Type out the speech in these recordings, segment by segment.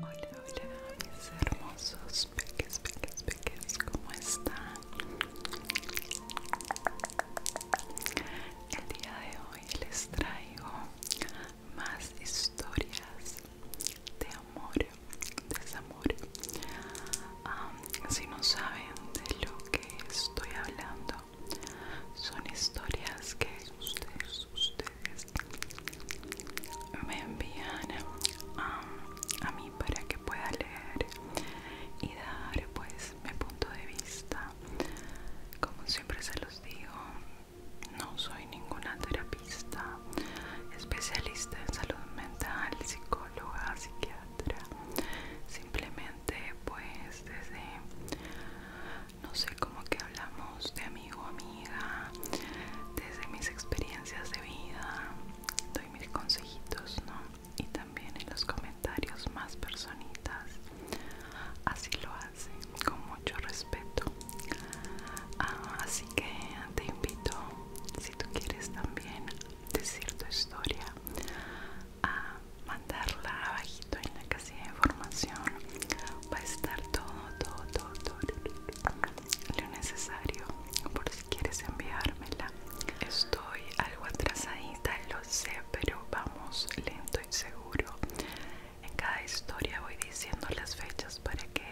Hola, hola mis hermosos peques, peques, peques, ¿cómo están? El día de hoy les traigo más historias de amor, desamor si no saben de lo que estoy hablando, son historias que ustedes, ustedes me envían a mí para que pueda leer y dar pues mi punto de vista. Como siempre se los digo, no soy ninguna terapista, especialista en salud mental, psicóloga, psiquiatra simplemente pues desde no sé cómo que hablamos de amigo amiga desde mis experiencias de vida doy mis consejitos no y también en los comentarios más personitas así lo hacen con mucho respeto ah, así que te invito tú quieres también decir tu historia a ah, mandarla abajito en la casilla de información va a estar todo todo todo, lo necesario por si quieres enviármela estoy algo atrasadita lo sé pero vamos lento y seguro en cada historia voy diciendo las fechas para que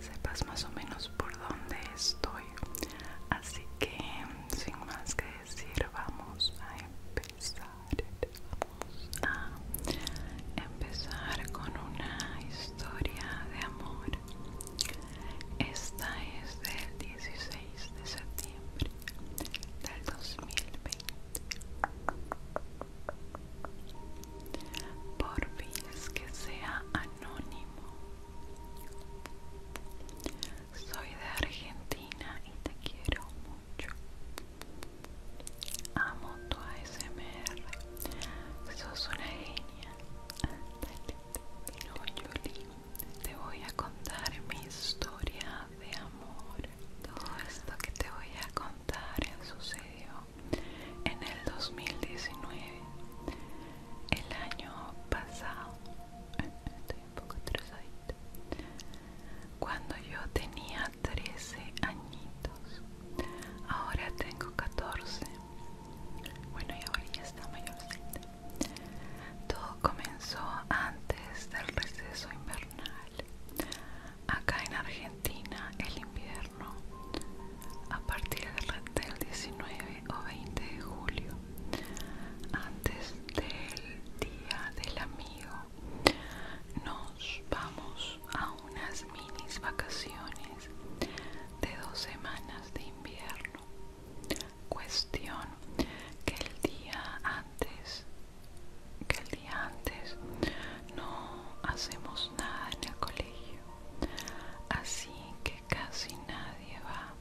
sepas más o menos por dónde estoy así que sin más que decir vamos a empezar vamos a empezar con una historia de amor esta es del 16 de septiembre del 2020 por fin es que sea anónimo soy de Argentina y te quiero mucho. Amo tu ASMR. Sos una genia. te voy a contar mi historia de amor. Todo esto que te voy a contar sucedió en el 2019 el año pasado estoy poco cuando yo tenía 13 añitos ahora tengo 14 bueno y ahora ya está mayorcita todo comenzó antes del receso invernal acá en Argentina el invierno a partir del 19 o 20 de julio, antes del Día del Amigo, nos vamos a unas minis vacaciones de dos semanas de invierno. Cuestión que el día antes que el día antes no hacemos nada en el colegio así que casi nadie va.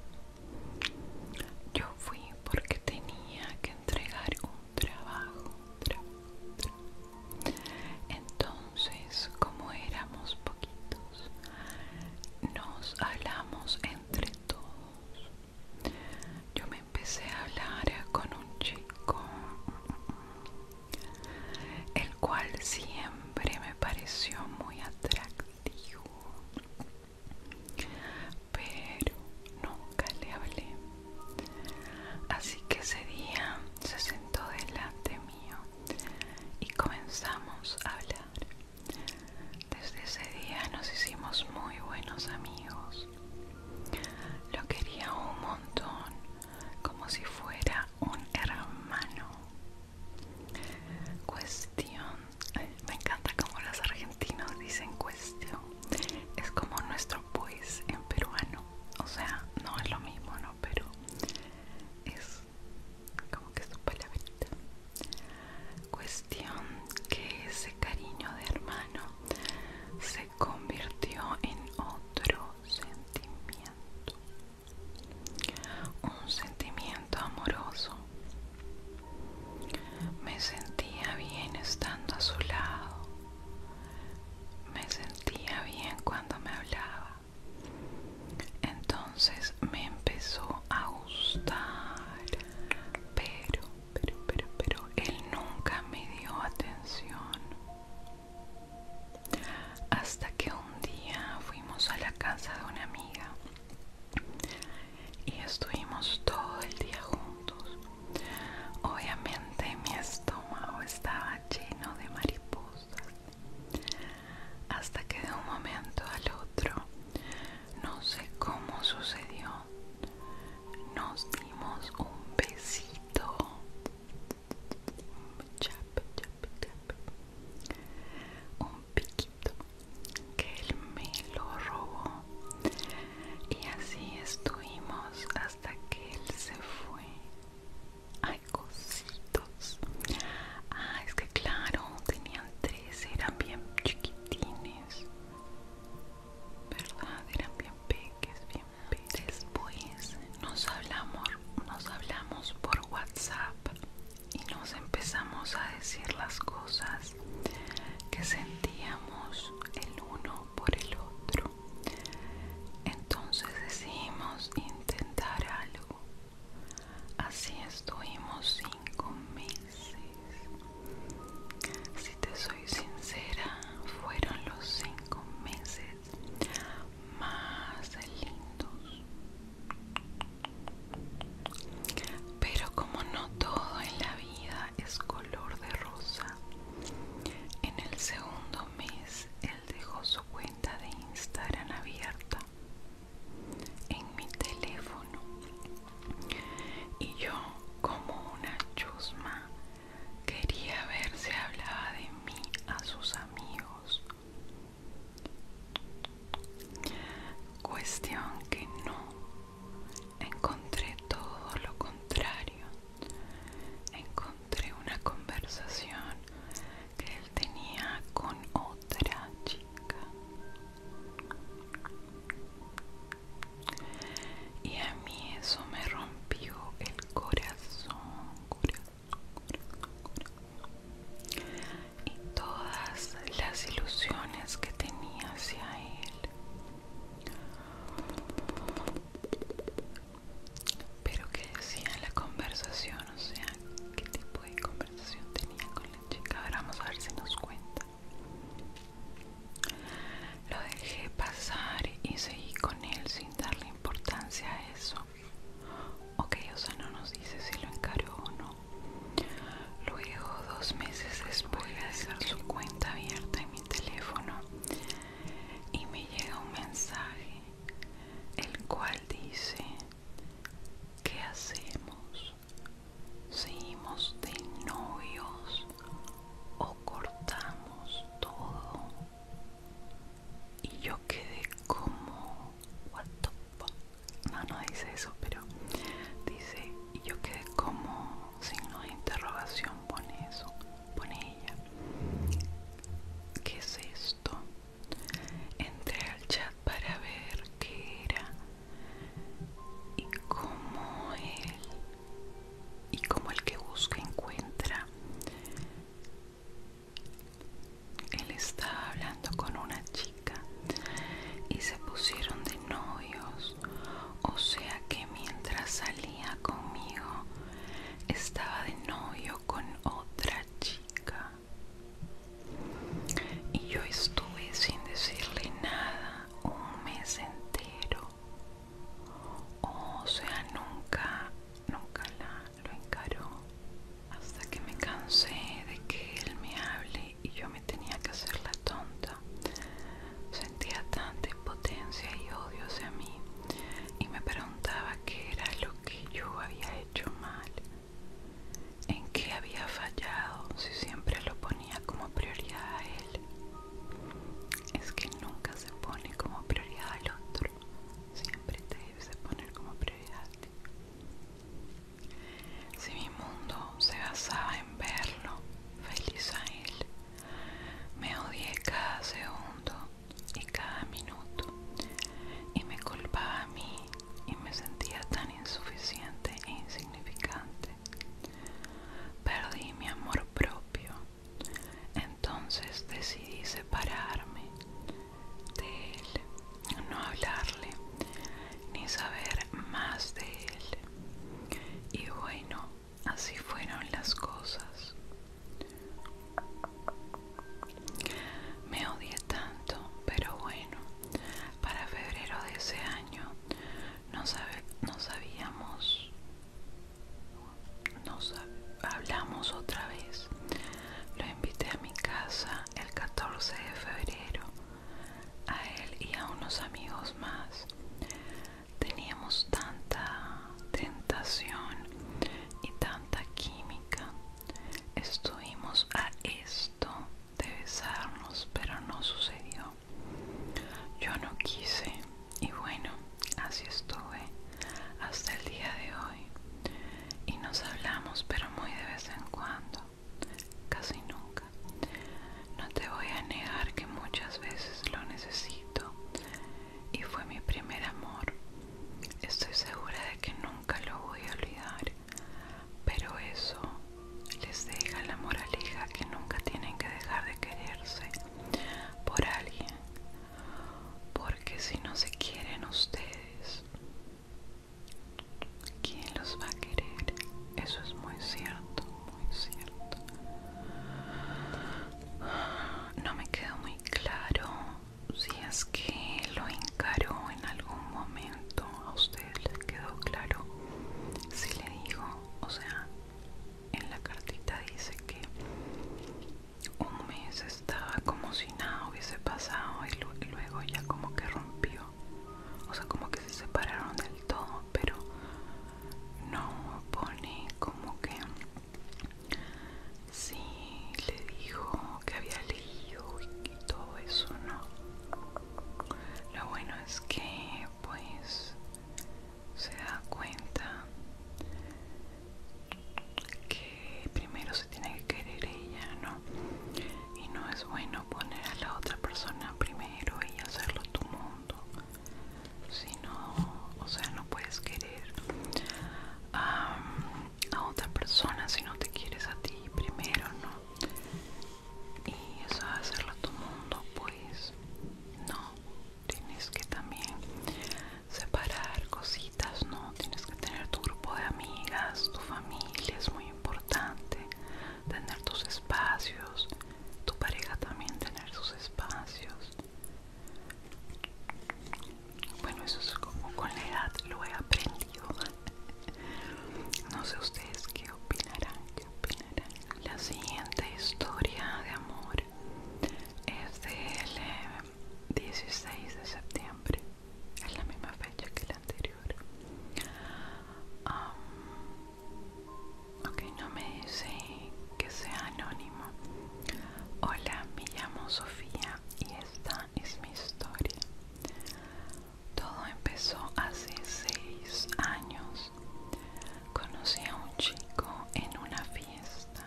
Yo fui porque tenía que entregar un trabajo. Entonces, como éramos poquitos, nos hablamos entre todos. Yo me empecé a hablar con un chico, el cual siempre me pareció muy atractivo pero nunca le hablé así que ese día se sentó delante mío y comenzamos a hablar desde ese día nos hicimos muy buenos amigos lo quería un montón como si fuera un hermano. Cuestión. me encanta como los argentinos dicen cuestión. Es como nuestro pues en peruano. O sea, no es lo mismo, ¿no? Pero es como que su palabrita. Cuestión que ese cariño de hermano se convirtió en otro sentimiento un sentimiento amoroso. Me sentía bien estando a su lado. Me sentía bien cuando me hablaba. Entonces me empezó a gustar. Pero, pero, pero, pero, él nunca me dio atención. Hasta que un día fuimos a la casa de una amiga y estuvimos todo el día juntos. Obviamente mi estómago estaba lleno de mariposas. Hasta que de un momento al otro, no sé cómo sucedió, nos dimos un besito un piquito que él me lo robó y así estuvimos hasta que él se fue hay cositos ah es que claro tenían tres eran bien chiquitines verdad eran bien peques bien pequeños después nos hablamos nos hablamos por WhatsApp y nos empezamos a decir las cosas que sentíamos el uno por el otro. Entonces decidimos intentar algo. Así estuvimos cinco meses. Si te soy sincera, fueron los cinco meses más lindos pero como no todo en la vida es color de rosa en el segundo mes él dejó su cuenta de instagram abierta en mi teléfono y yo como una chusma quería ver si hablaba de mí a sus amigos Cuestión que no, encontré todo lo contrario. Encontré una conversación que él tenía con otra chica. Y a mí eso me rompió el corazón, y todas las ilusiones que tenía hacia él. Pero que decía la conversación, o sea, qué tipo de conversación tenía con la chica. Ahora vamos a ver si nos cuenta. Lo dejé pasar y seguí con él sin darle importancia a eso. Ok, o sea, no nos dice si lo encaró o no. Luego, dos meses después, de a su cuenta abierta en mi teléfono y me llega un mensaje, el cual dice, ¿qué hacemos? ¿Seguimos de novios o cortamos todo? y yo quedé como what the no no dice eso pero dice y yo quedé como signo de interrogación pone eso pone ella ¿qué es esto? entré al chat para ver qué era y como él y como el que busca encuentra él estaba hablando con una chica y se pusieron de novios, o sea que mientras salía conmigo estaba de novio con otra chica. Y yo estuve sin decirle nada un mes entero. O sea, nunca, nunca la lo encaró hasta que me cansé de que él me hable y yo me tenía que hacer la tonta. Sentía tanta impotencia y odio hacia mí y me preguntaba qué era lo que yo había hecho mal, en qué había fallado si siempre lo ponía como prioridad a él. Es que nunca se pone como prioridad al otro, siempre te poner como prioridad. Si mi mundo se basaba en verlo, feliz a él, me odié cada segundo y cada minuto y me culpaba a mí y me sentía tan insuficiente e insignificante. Perdí mi amor propio, entonces decidí separarme de él, no hablarle ni saber más de él. Y bueno, así fueron las cosas. Me odié tanto, pero bueno, para febrero de ese año no, no sabíamos nos hablamos otra vez. Lo invité a mi casa el 14 de febrero, a él y a unos amigos más. Teníamos tanta tentación y tanta química. Estuvimos a esto de besarnos, pero no sucedió. Yo no quise y bueno, así estuve hasta el día de hoy y nos hablamos pero muy de vez en cuando, casi nunca. No te voy a negar que muchas veces lo necesito y fue mi primer amor. Estoy segura de que nunca lo voy a olvidar, pero eso les deja la moraleja que nunca tienen que dejar de quererse por alguien porque si no se quieren ustedes quién los va a querer eso es muy cierto muy cierto no me quedó muy claro si es que lo encaró en algún momento a ustedes les quedó claro si le digo o sea en la cartita dice que un mes estaba como si nada hubiese pasado y, luego ya como que rompió. O sea, como que se separaron del todo, pero no pone como que Si le dijo que había leído y todo eso, ¿no? Lo bueno es que pues se da cuenta que primero se tiene que querer ella, ¿no? Y no es bueno poner a la otra persona primero y hacerlo tu mundo. Si no, o sea, no puedes querer a, otra persona si no te quieres a ti primero, ¿no? Y eso hacerlo tu mundo, pues no, tienes que también separar cositas, ¿no? Tienes que tener tu grupo de amigas, tu familia, es muy importante tener tus espacios, tu pareja también tener sus espacios. Bueno, eso es como con la edad lo he aprendido. No sé ustedes qué opinarán, qué opinarán. La siguiente historia de amor es L. 16 de septiembre es la misma fecha que la anterior ok no me dice que sea anónimo hola me llamo Sofía y esta es mi historia todo empezó hace 6 años conocí a un chico en una fiesta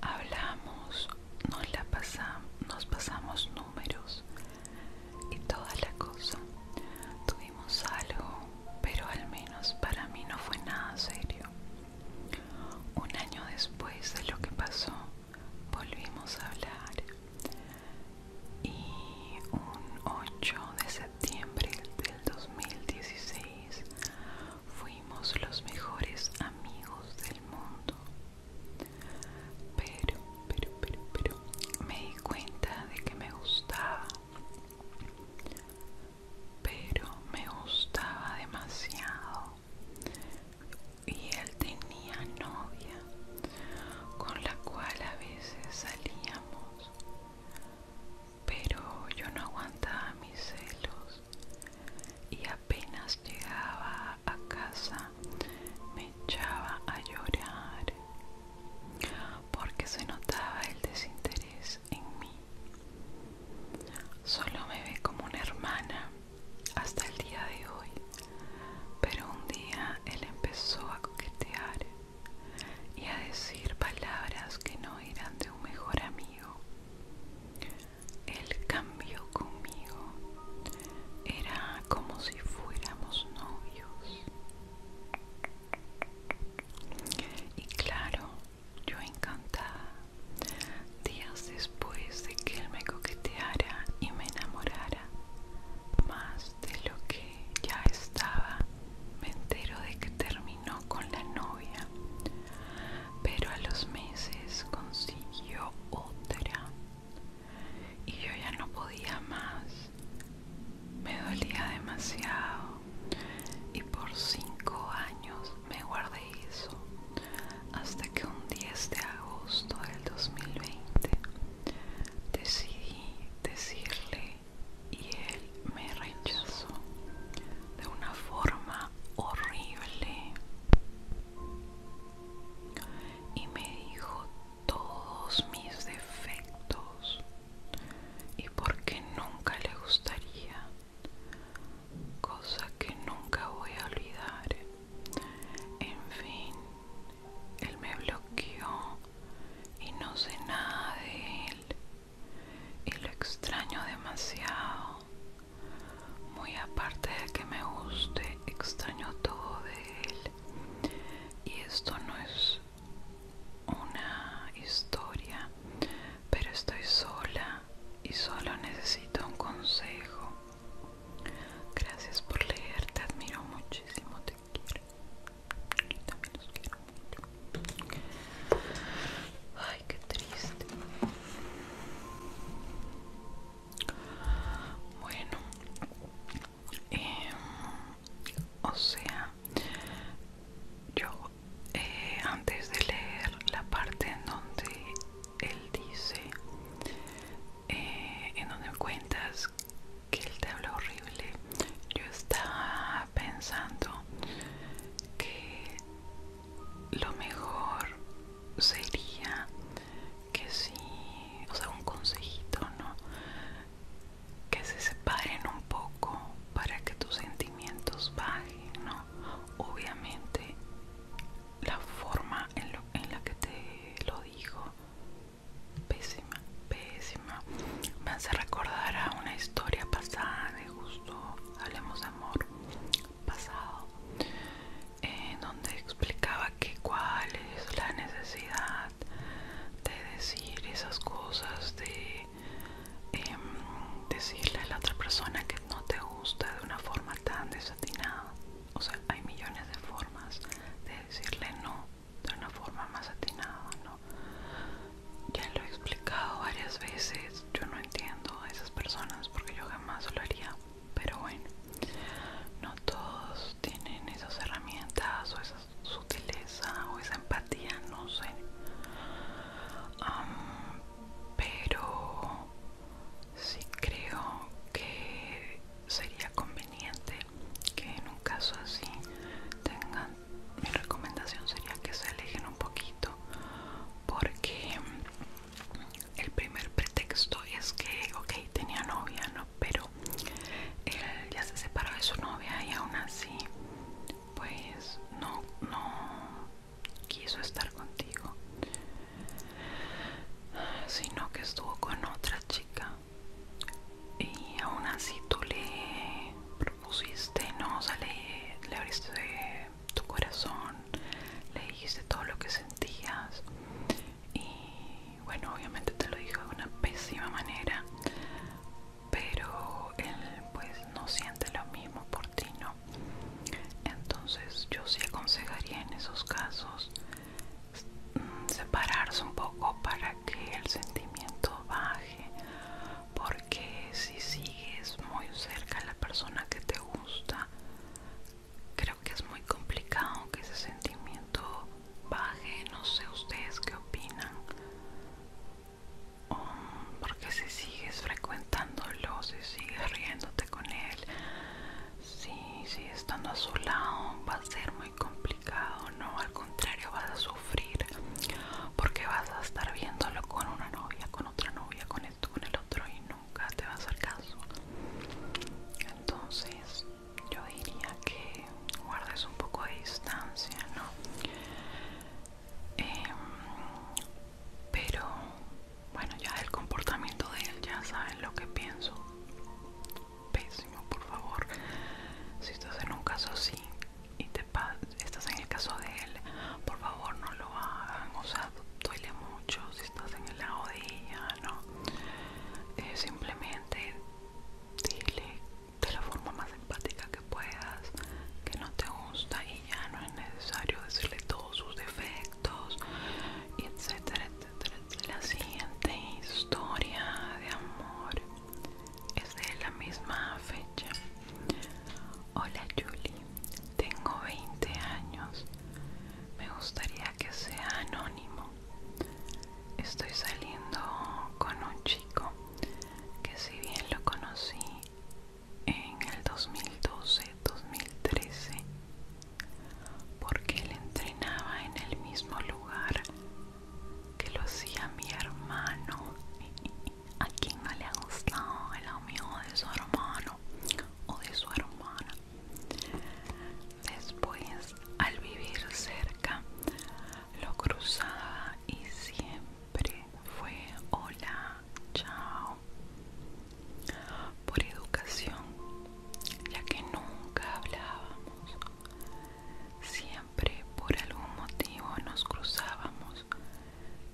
Hablamos, nos, la pasamos, nos pasamos números y toda la cosa. Tuvimos algo, pero al menos para mí no fue nada serio. Un año después de lo que pasó, volvimos a hablar y un 8 de septiembre del 2016 fuimos los mejores amigos del mundo. Pero, pero, pero, pero, me di cuenta de que me gustaba. Pero me gustaba demasiado. Y él tenía novia con la cual a veces salíamos pero yo no aguantaba mis celos y apenas llegaba a casa me echaba a llorar porque se notaba el desinterés en mí. Solo me ve como una hermana hasta el día de hoy, pero un día él empezó a coquetear y a decir palabras que no eran de un mejor amigo. El cambio conmigo era como si fuéramos novios. Y claro, yo encantada. Días después de que él me coqueteara y me enamorara, más de lo que ya estaba, me entero de que terminó no con la novia, pero a los meses consiguió otra y yo ya no podía más. Me dolía demasiado y por cinco años me guardé eso hasta que un 10 de agosto del 2020 decidí decirle y él me rechazó de una forma horrible y me dijo todos mis defectos y porque nunca le gustaría cosa que nunca voy a olvidar en fin él me bloqueó y no sé nada de él y lo extraño demasiado. Muy aparte de que me guste, extraño todo de él. Y esto no es una historia, pero estoy sola y solo necesito un consejo. Gracias por leer, te admiro muchísimo, te quiero. también los quiero. Ay, qué triste. Bueno, em, o sea, yo eh, antes de leer la parte en donde él dice, eh, en donde cuentas que él te habla horrible, yo estaba pensando que lo mejor sería que si, o sea, un consejito, ¿no? Que se separen un poco para que tus sentimientos bajen, ¿no? Obviamente, la forma en, la que te lo dijo, pésima, pésima, me hace recordar a una historia pasada Hablemos de Amor pasado en donde explicaba que cuál es la necesidad de decir esas cosas de em, decirle a la otra persona que no te gusta de una forma tan desatinada o sea hay millones de formas de decirle no de una forma más atinada no ya lo he explicado varias veces. Yo no entiendo a esas personas porque yo jamás lo haría. Pero bueno, no todos tienen esas herramientas o esa sutileza o esa empatía, no sé. pero sí creo que sería conveniente que en un caso así tengan mi recomendación sería que se alejen un poquito porque el primer pretexto es que, ok, tenía novia, ¿no? Pero él ya se separó de su novia y aún así, pues no, no quiso estar contigo, sino que estuvo con otra chica y aún así tú le propusiste, ¿no? le, abriste tu corazón, le dijiste todo lo que sentías y bueno, obviamente te lo dijo de una pésima manera, pero él pues no siente lo mismo por ti, ¿no? Entonces yo sí aconsejaría en esos casos mm, separarse un poco para que el sentimiento baje, porque que si sigues muy cerca a la persona que te gusta, creo que es muy complicado que ese sentimiento baje. No sé ustedes qué opinan. Oh, porque si sigues frecuentándolo, si sigues riéndote con él, si sigues estando a su lado, va a ser muy complicado, ¿no? contrario vas a sufrir porque vas a estar viéndolo con una novia, con otra novia, con esto, con el otro y nunca te va a hacer caso. Entonces yo diría que guardes un poco de distancia, ¿no? Em, pero bueno, ya el comportamiento de él, ya saben lo que pienso. Pésimo, por favor. Si estás en un caso así te estás en el caso de él, por favor no lo hagan, o sea, duele mucho si estás en el lado de ella, ¿no? Eh, simplemente dile de la forma más empática que puedas que no te gusta y ya no es necesario decirle todos sus defectos, y etcétera, etcétera. La siguiente historia de amor es de la misma fecha. Hola Julie, tengo 20 años. Me gustaría que sea anónimo. Estoy saliendo con un chico que si bien lo conocí en el 2012-2013 porque él entrenaba en el mismo lugar que lo hacía mi hermano a quien no le ha gustado el amigo de su hermano o de su hermana. Después, al vivir cerca, lo cruzaba y siempre fue hola, chao. Por educación, ya que nunca hablábamos, siempre siempre por algún motivo nos cruzábamos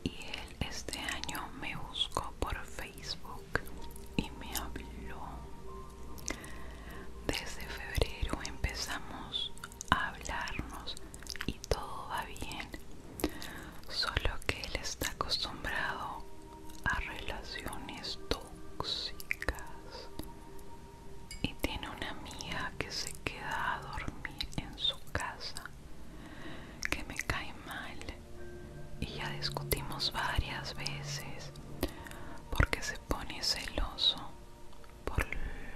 y él este año me buscó por Facebook y me habló. Desde febrero empezamos a hablarnos y todo va bien, solo que él está acostumbrado a relaciones tóxicas y tiene una amiga que se queda a dormir en su casa que me cae mal y ya discutimos varias veces porque se pone celoso por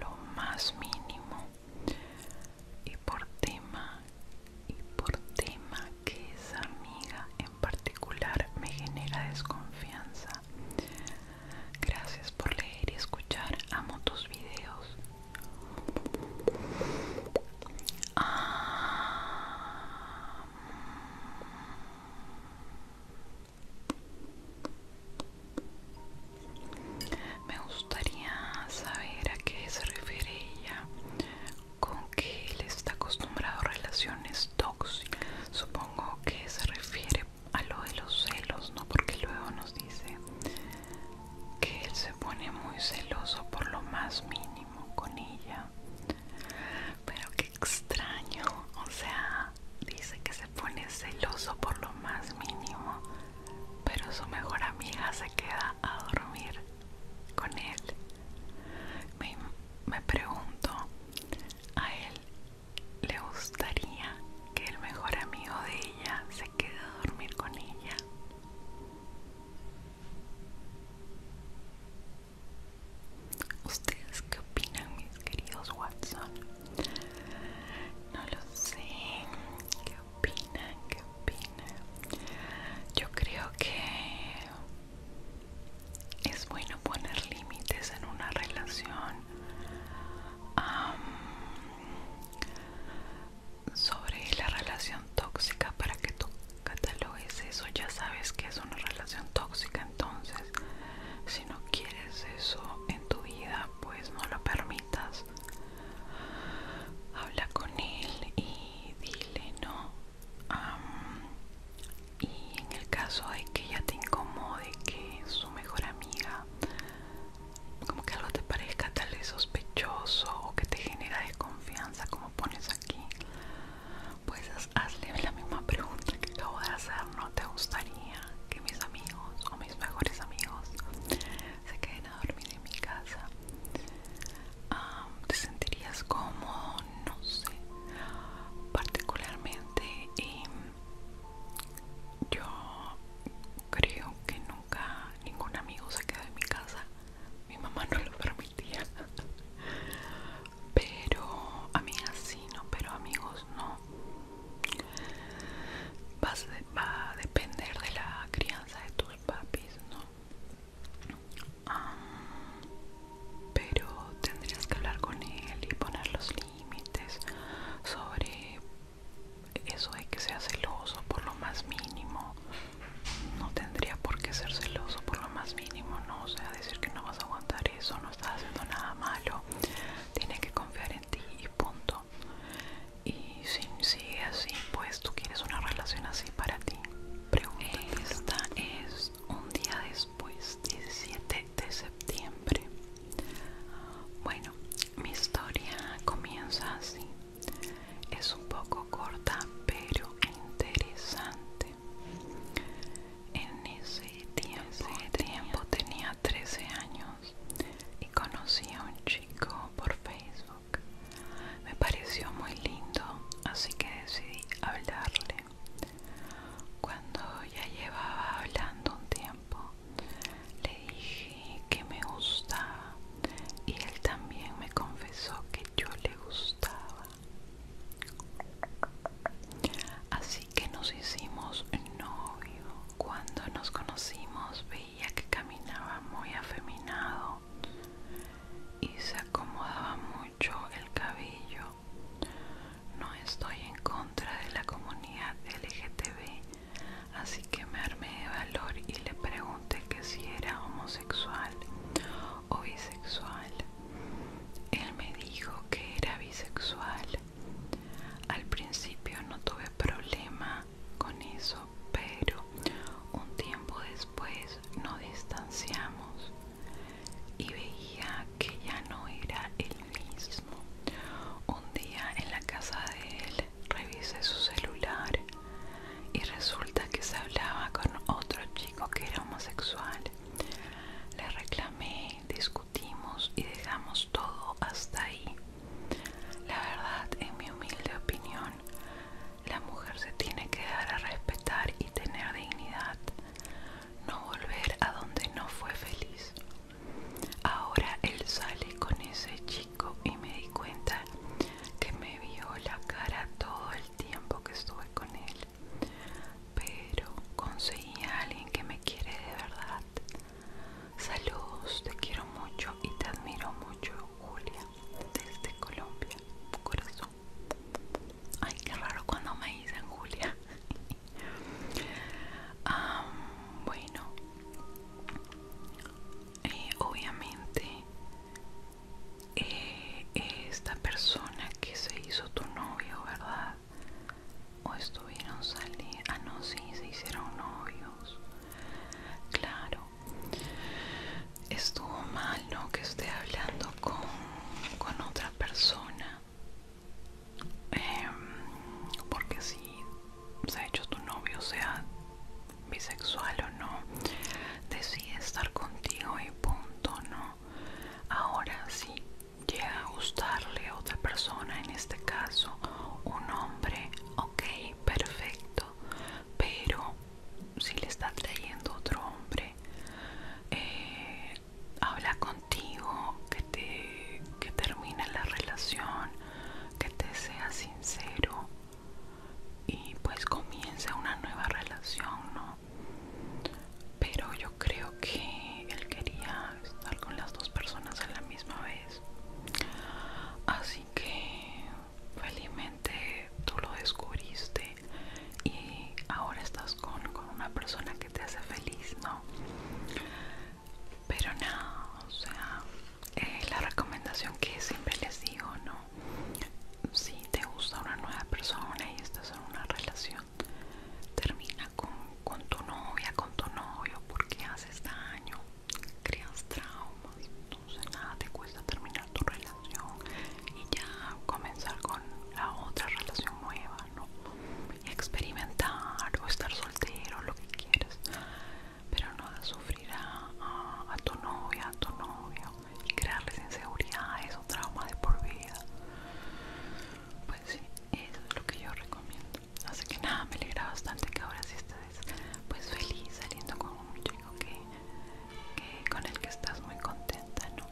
lo más mínimo y por tema y por tema que esa amiga en particular me genera desconfianza Gracias por leer y escuchar. a tus videos. Ah. Me gustaría saber a qué se refiere ella con que él está acostumbrado a relaciones tóxicas. Supongo que se refiere a lo de los celos, ¿no? Porque luego nos dice que él se pone muy celoso por lo más mínimo con ella. Pero qué extraño, o sea, dice que se pone celoso por lo más mínimo, pero su mejor amiga se queda a dormir con él. Me, me pregunto, ¿a él le gustaría que el mejor amigo de ella se quede a dormir con ella. ¿Ustedes qué opinan, mis queridos Watson? No lo sé. ¿Qué opinan? ¿Qué opinan? Yo creo que es bueno poner límites en una relación sobre la relación tóxica para que tú catalogues eso ya sabes que es una relación tóxica entonces si no quieres eso en tu vida pues no lo permitas habla con él y dile no y en el caso de que ella te incomode que es su mejor amiga como que algo te parezca tal vez sospechoso o que te genera desconfianza como pones aquí pues hazle la misma pregunta que acabo de hacer no te gustaría que mis amigos o mis mejores amigos se queden a dormir en mi casa te sentirías como no sé particularmente em, yo creo que nunca ningún amigo se quedó en mi casa. Mi mamá no lo permitía. Pero amigas sí, no, pero amigos no. va a depender de la crianza de tus papis, ¿no? pero tendrías que hablar con él y ponerlos los límites, sobre eso de que sea celoso por lo más mínimo. No tendría por qué ser celoso por lo más mínimo, ¿no? O sea, decir que no vas a aguantar eso, no estás haciendo nada malo, tienes que confiar en ti y punto. Y si sigue así, pues tú quieres una relación así para ti. Esta es un día después, 17 de septiembre. Bueno, mi historia comienza así. Es un poco corta, pero interesante. En ese tiempo tenía 13 años y conocí a un chico por Facebook. Me pareció muy lindo, así que decidí hablarle. Cuando ya llevaba hablando un tiempo, le dije que me gustaba y él también me confesó que yo le gustaba. Así que nos hicimos novio. Cuando nos conocimos veía que caminaba muy afeminado y se acomodaba mucho el cabello. No estoy en contra de la comunidad LGTB, así que me armé de valor y le pregunté que si era homosexual o bisexual. Él me dijo que era bisexual. Al principio no tuve problema con eso, pero un tiempo después nos distanciamos y veía que ya no era el mismo. Un día en la casa de él revisé su celular y resulta que se hablaba con otro chico que era homosexual. Le reclamé, discutimos y dejamos todo hasta ahí. La verdad, en mi humilde opinión, la mujer se tiene que dar a respetar y tener dignidad, no volver a donde no fue feliz. Ahora él sale con ese chico y me di cuenta que me vio la cara todo el tiempo que estuve con él. Pero conseguí a alguien que me quiere de verdad. Saludos, te quiero mucho y te admiro mucho, Julia, desde Colombia, corazón. Ay, qué raro cuando me dicen Julia. bueno, eh, obviamente eh, esta persona que se hizo tu novio, ¿verdad? O estuvieron saliendo. Ah, no, sí, se hicieron novios. Claro. Estuvo mal, ¿no? Que esté hablando con otra persona. Em, porque si se ha hecho tu novio sea bisexual o no decide estar contigo y punto no ahora si llega a gustarle a otra persona en este caso un hombre ok perfecto pero si le está trayendo otro hombre eh, habla contigo, que te que termine la relación, que te sea sincero y pues comience una nueva relación, ¿no? Pero yo creo que él quería estar con las dos personas a la misma vez. Así que felizmente tú lo descubriste y ahora estás con, una persona que te hace feliz, ¿no? Pero nada, no, o sea, eh, la recomendación que siempre les digo, ¿no? Si te gusta una nueva persona y estás en una relación, termina con, con tu novia, con tu novio, porque haces daño, creas traumas, entonces nada te cuesta terminar tu relación y ya comenzar con la otra relación nueva, ¿no? experimentar o estar soltero, lo que quieras, pero no sufrir a, tu novia, a tu novio y crearles inseguridades o trauma de por vida. Pues sí, eso es lo que yo recomiendo. Así que nada, me alegra bastante que ahora si estés pues feliz saliendo con un chico que con el que estás muy contenta, ¿no?